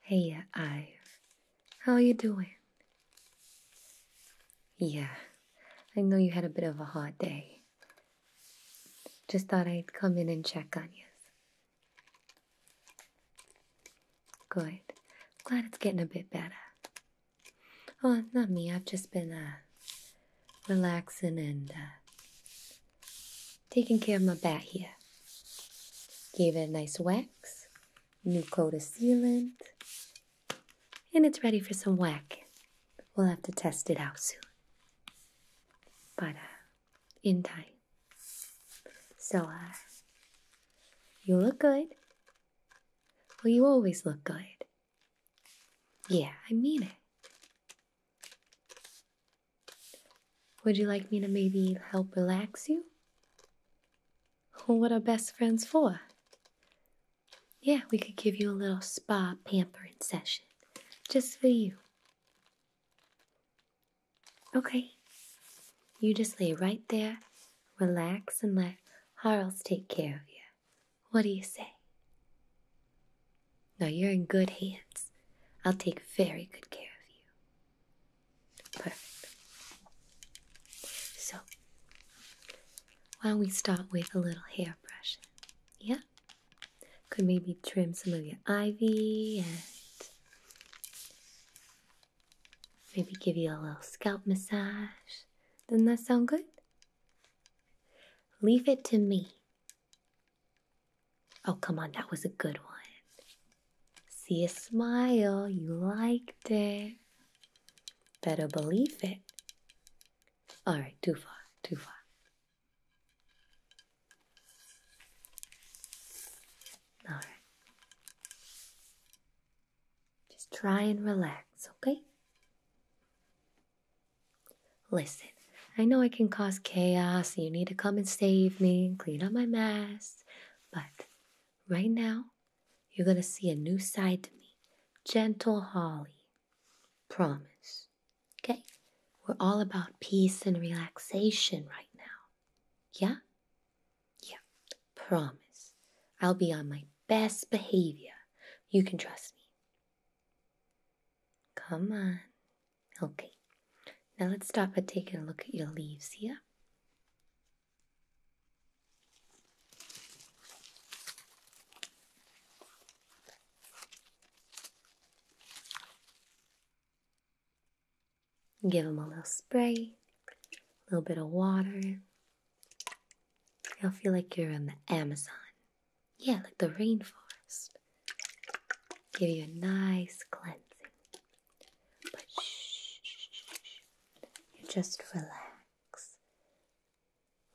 Hey, Ive. How you doing? Yeah, I know you had a bit of a hard day. Just thought I'd come in and check on you. Good. Glad it's getting a bit better. Oh, not me. I've just been uh, relaxing and uh, Taking care of my bat here. Gave it a nice wax, new coat of sealant, and it's ready for some whacking. We'll have to test it out soon. But uh, in time. So, uh, you look good. Well, you always look good. Yeah, I mean it. Would you like me to maybe help relax you? What are best friends for? Yeah, we could give you a little spa pampering session just for you. Okay, you just lay right there, relax, and let Harles take care of you. What do you say? Now you're in good hands. I'll take very good care of you. So, why don't we start with a little hairbrush? Yeah? Could maybe trim some of your ivy and maybe give you a little scalp massage. Doesn't that sound good? Leave it to me. Oh, come on, that was a good one. See a smile, you liked it. Better believe it. All right, too far, too far. All right. Just try and relax, okay? Listen, I know I can cause chaos Flossie, you need to come and save me and clean up my mess. But right now, you're going to see a new side to me. Gentle Holly. Promise. Okay? We're all about peace and relaxation right now. Yeah? Yeah. Promise. I'll be on my best behavior. You can trust me. Come on. Okay, now let's stop at taking a look at your leaves here. Give them a little spray, a little bit of water. You'll feel like you're in the Amazon. Yeah, like the rainforest. Give you a nice cleansing. But shh, you just relax.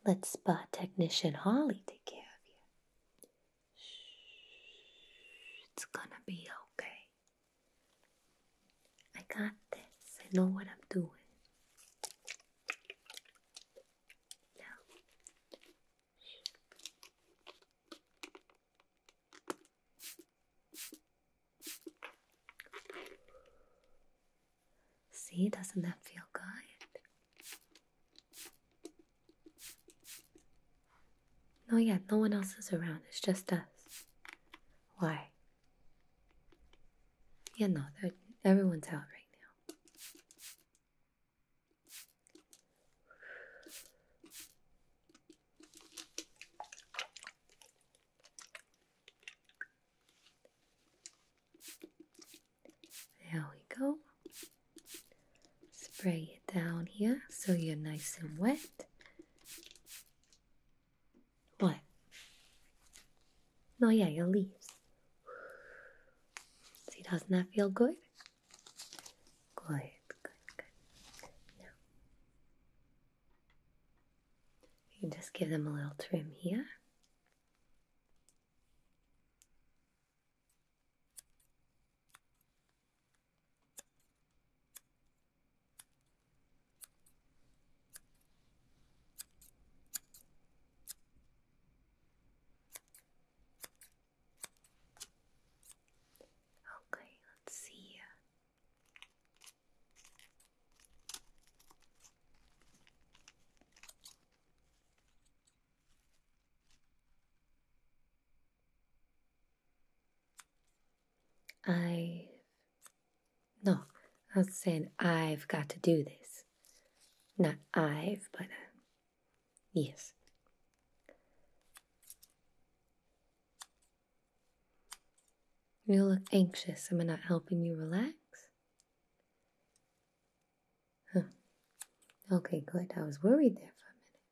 Let spa technician Holly take care of you. it's gonna be okay. I got this. I know what I'm doing. Now, See, doesn't that feel good? No, yeah, no one else is around. It's just us. Why? Yeah, no, everyone's out right now. There we go. Spray it down here so you're nice and wet. What? No, yeah, your leaves. See, doesn't that feel good? Good, good, good. Now, you can just give them a little trim here. Okay, let's see. I no, I was saying I've got to do this. Not i but uh, yes. You look anxious. Am I not helping you relax? Okay, good. I was worried there for a minute.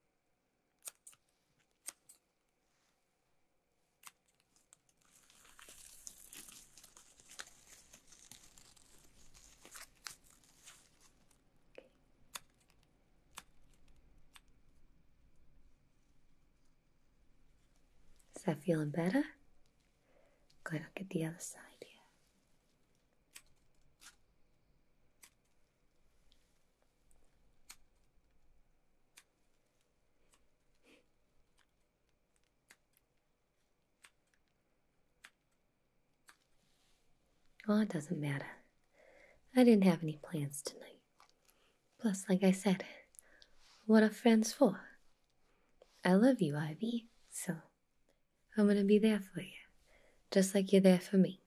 Is that feeling better? Good, I'll get the other side yeah. Well, it doesn't matter. I didn't have any plans tonight. Plus, like I said, what are friends for? I love you, Ivy, so I'm gonna be there for you, just like you're there for me.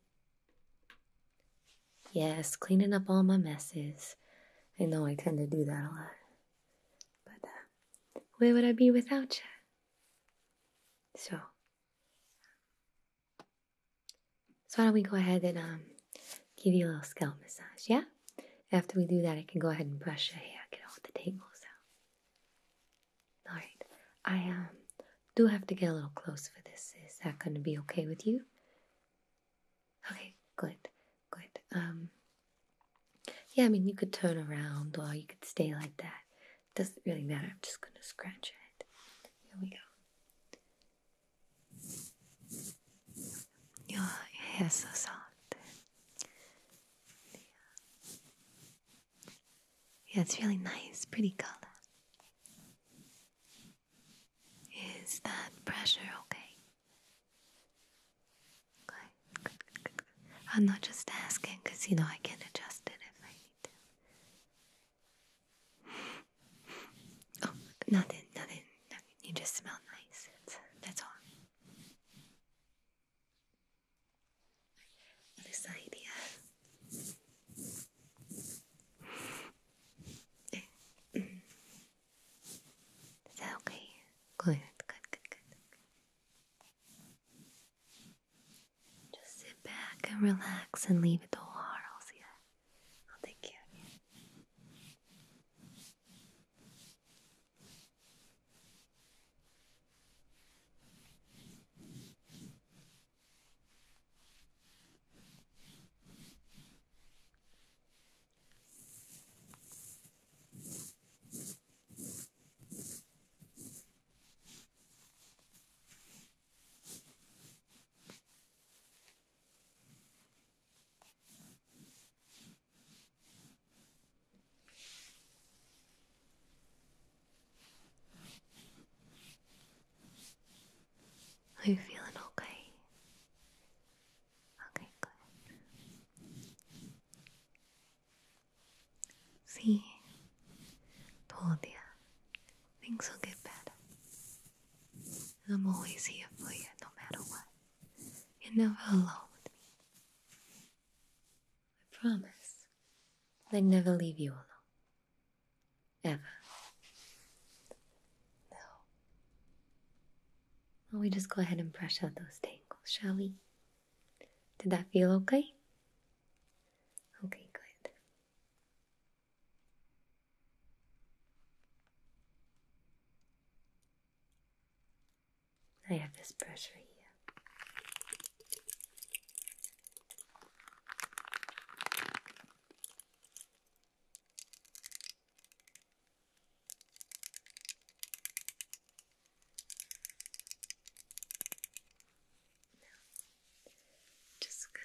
Yes, cleaning up all my messes. I know I tend to do that a lot. But uh, where would I be without you? So, so why don't we go ahead and um, give you a little scalp massage, yeah? After we do that, I can go ahead and brush your hair, get all the tangles out. All right, I um, do have to get a little close for this. Is that going to be okay with you? Okay, good, good. Um, yeah, I mean, you could turn around or you could stay like that. It doesn't really matter. I'm just going to scratch it. Here we go. Your hair is so soft. Yeah. it's really nice, pretty color. Is that pressure okay? Good, I'm not just asking because you know I can adjust it if I need to. Oh, nothing, nothing, nothing. You just smell nice. That's, all. Other side, eh, mm. Is that okay? Good, good, good, good. Just sit back and relax and leave it to Harles, I'll oh, take care of you. Are you feeling okay? Okay, good. See, told Things will get better. And I'm always here for you no matter what. You're never alone with me. I promise I'd never leave you alone. Ever. No. Well, we just go ahead and brush out those tangles, shall we? Did that feel okay? Okay, good. I have this brush right here. just gonna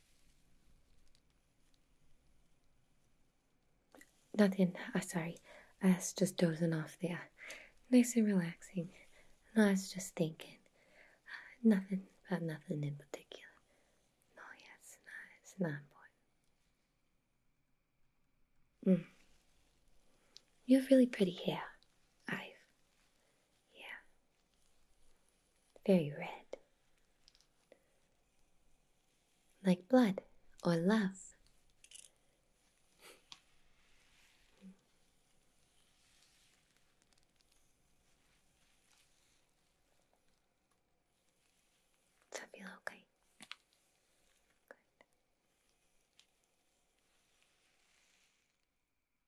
Nothing. Oh, sorry. I was just dozing off there. Nice and relaxing. And I was just thinking. Uh, nothing about nothing in particular. No, yes, it's not, it's not important. Mm. You have really pretty hair, I've. Yeah. Very red. Like blood or love. Does feel okay?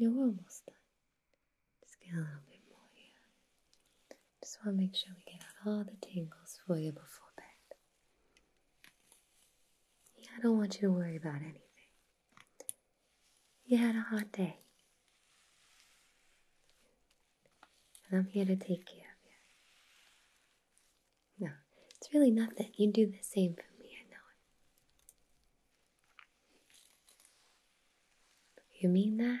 You're almost done. Just get a little bit more here. Just want to make sure we get out all the tangles for you before bed. Yeah, I don't want you to worry about anything. You had a hot day. And I'm here to take care of you. No, it's really nothing. You do the same for me, I know You mean that?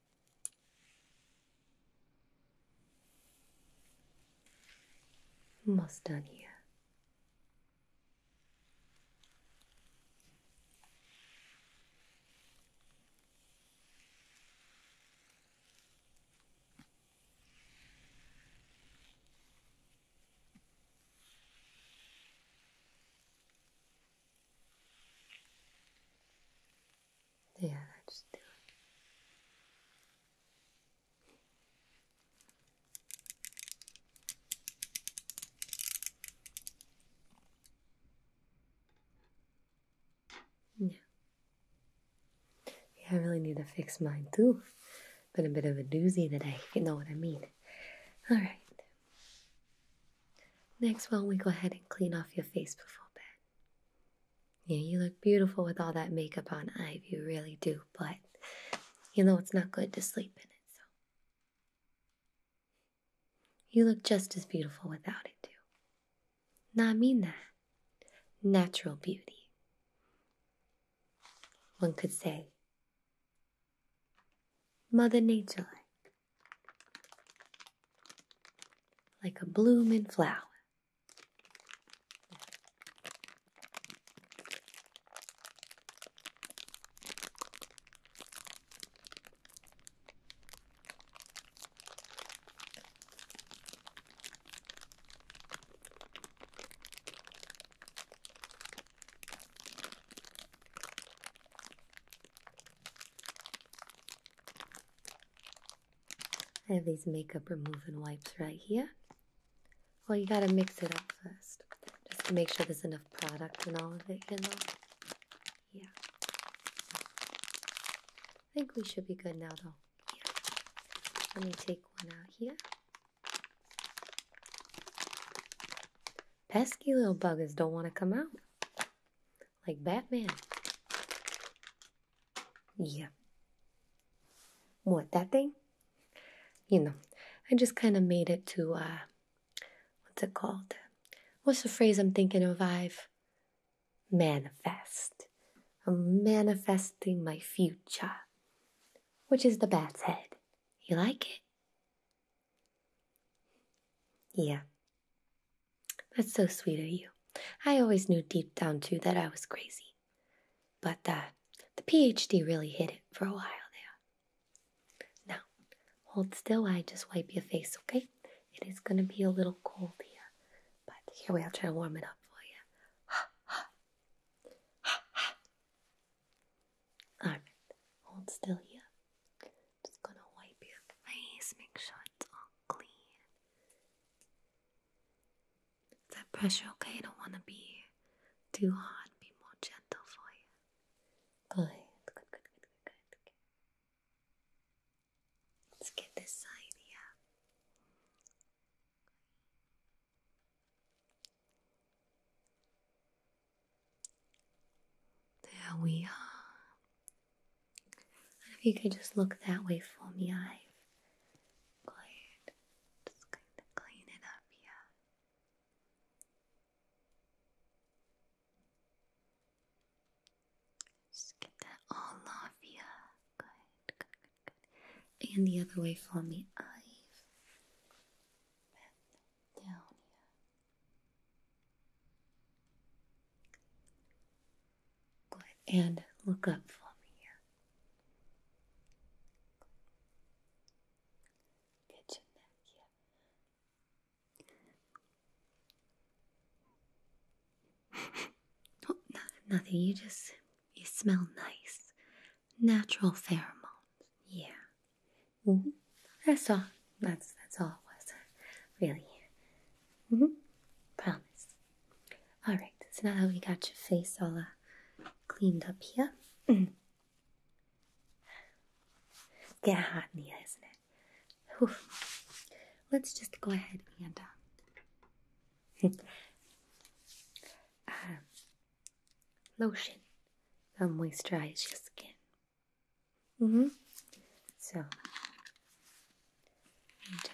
Almost done here. Yeah, let's do it. Yeah. yeah, I really need to fix mine too. Been a bit of a doozy today, if you know what I mean. Alright. Next, why don't we go ahead and clean off your face before bed? Yeah, you look beautiful with all that makeup on, Ive. You really do, but you know it's not good to sleep in it, so. You look just as beautiful without it, too. Now, mean that. Natural beauty. One could say, Mother Nature like like a blooming flower. I have these makeup removing wipes right here. Well, you gotta mix it up first, just to make sure there's enough product in all of it, you know? Yeah. I think we should be good now, though. Let me take one out here. Pesky little buggers don't want to come out like Batman. Yeah. What, that thing? You know, I just kind of made it to, uh, what's it called? What's the phrase I'm thinking of? I've manifest. I'm manifesting my future, which is the bat's head. You like it? Yeah. That's so sweet of you. I always knew deep down, too, that I was crazy. But uh, the PhD really hit it for a while there. Now, hold still I just wipe your face, okay? It is going to be a little cold here. But here we are, try to warm it up for you. All right, hold still here. Just gonna wipe your face, make sure it's all clean. Is that pressure okay? I don't want to be too hard, be more gentle for you. Good, good, good, good, good, Let's get this side here. There we are. If you could just look that way for me, I've Just going to clean it up here. Just get that all off here. Good, good, good, good. And the other way for me, i down here and look up for me oh, nothing. You just you smell nice. Natural pheromones. Yeah. That's all. That's that's all it was, really. Mm-hmm. Promise. All right. So now that we got your face all uh, cleaned up here, mm-hmm. get hot in here, isn't it? Let's just go ahead and. Uh, um, lotion that moisturize your skin. Mm -hmm. So just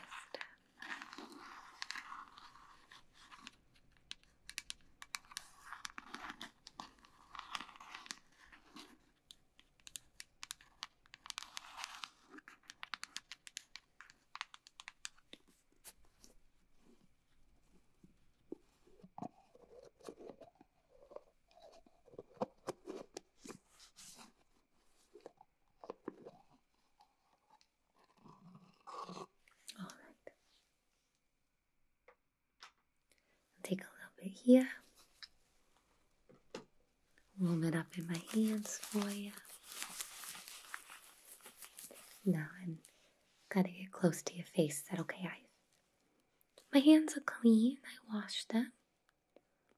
all right. Take a little bit here. Warm it up in my hands for you. Now i gotta get close to your face. Is that okay? I my hands are clean. I washed them.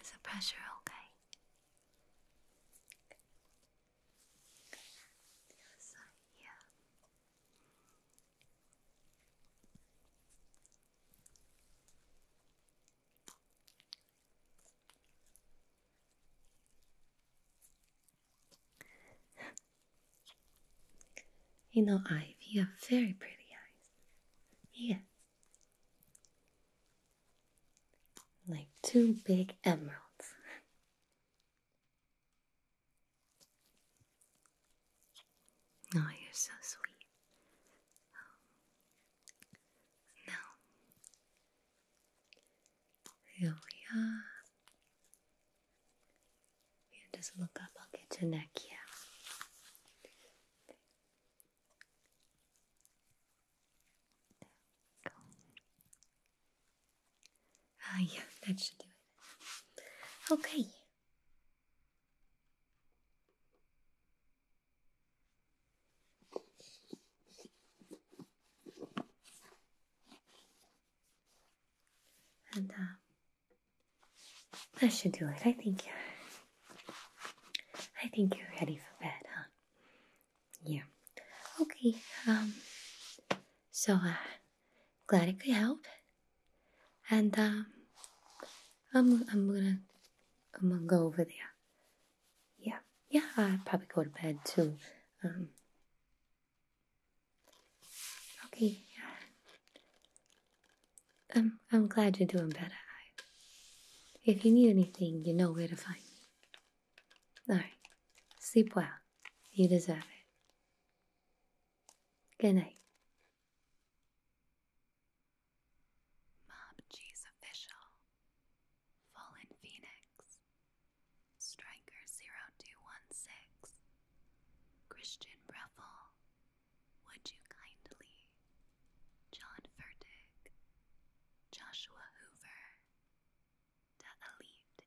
Is the pressure okay? yeah. you know, Ivy, you have very pretty eyes. Yeah. Like two big emeralds. Oh, you're so sweet. Um, here we are. You just look up, I'll get your neck here. Ah, yeah, that should do it. Okay. And uh, I should do it. I think I think you're ready for bed, huh? Yeah. Okay. Um so uh glad I could help. And um I'm I'm gonna I'm gonna go over there. Yeah. Yeah, i probably go to bed too. Um Okay, I'm, I'm glad you're doing better. If you need anything, you know where to find me. Alright, sleep well. You deserve it. Good night. Mob G's official, Fallen Phoenix, Striker 0216, Christian Breffel, would you kindly, John Furtick, Joshua Hoover, Da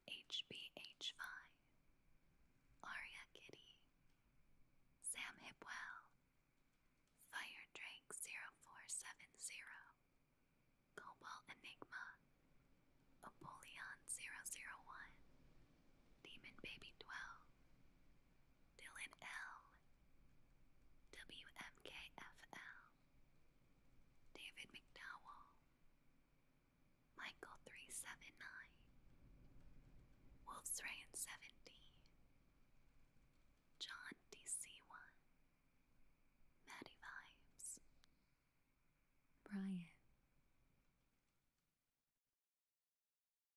HBH5, Aria Kitty, Sam Hipwell, Fire Drake 0470, Cobalt Enigma, Apollyon 001, Demon Baby 12, Dylan L, David McDowell, Michael 379, Wolf's Rayan 70, John DC1, Maddie Vibes, Brian.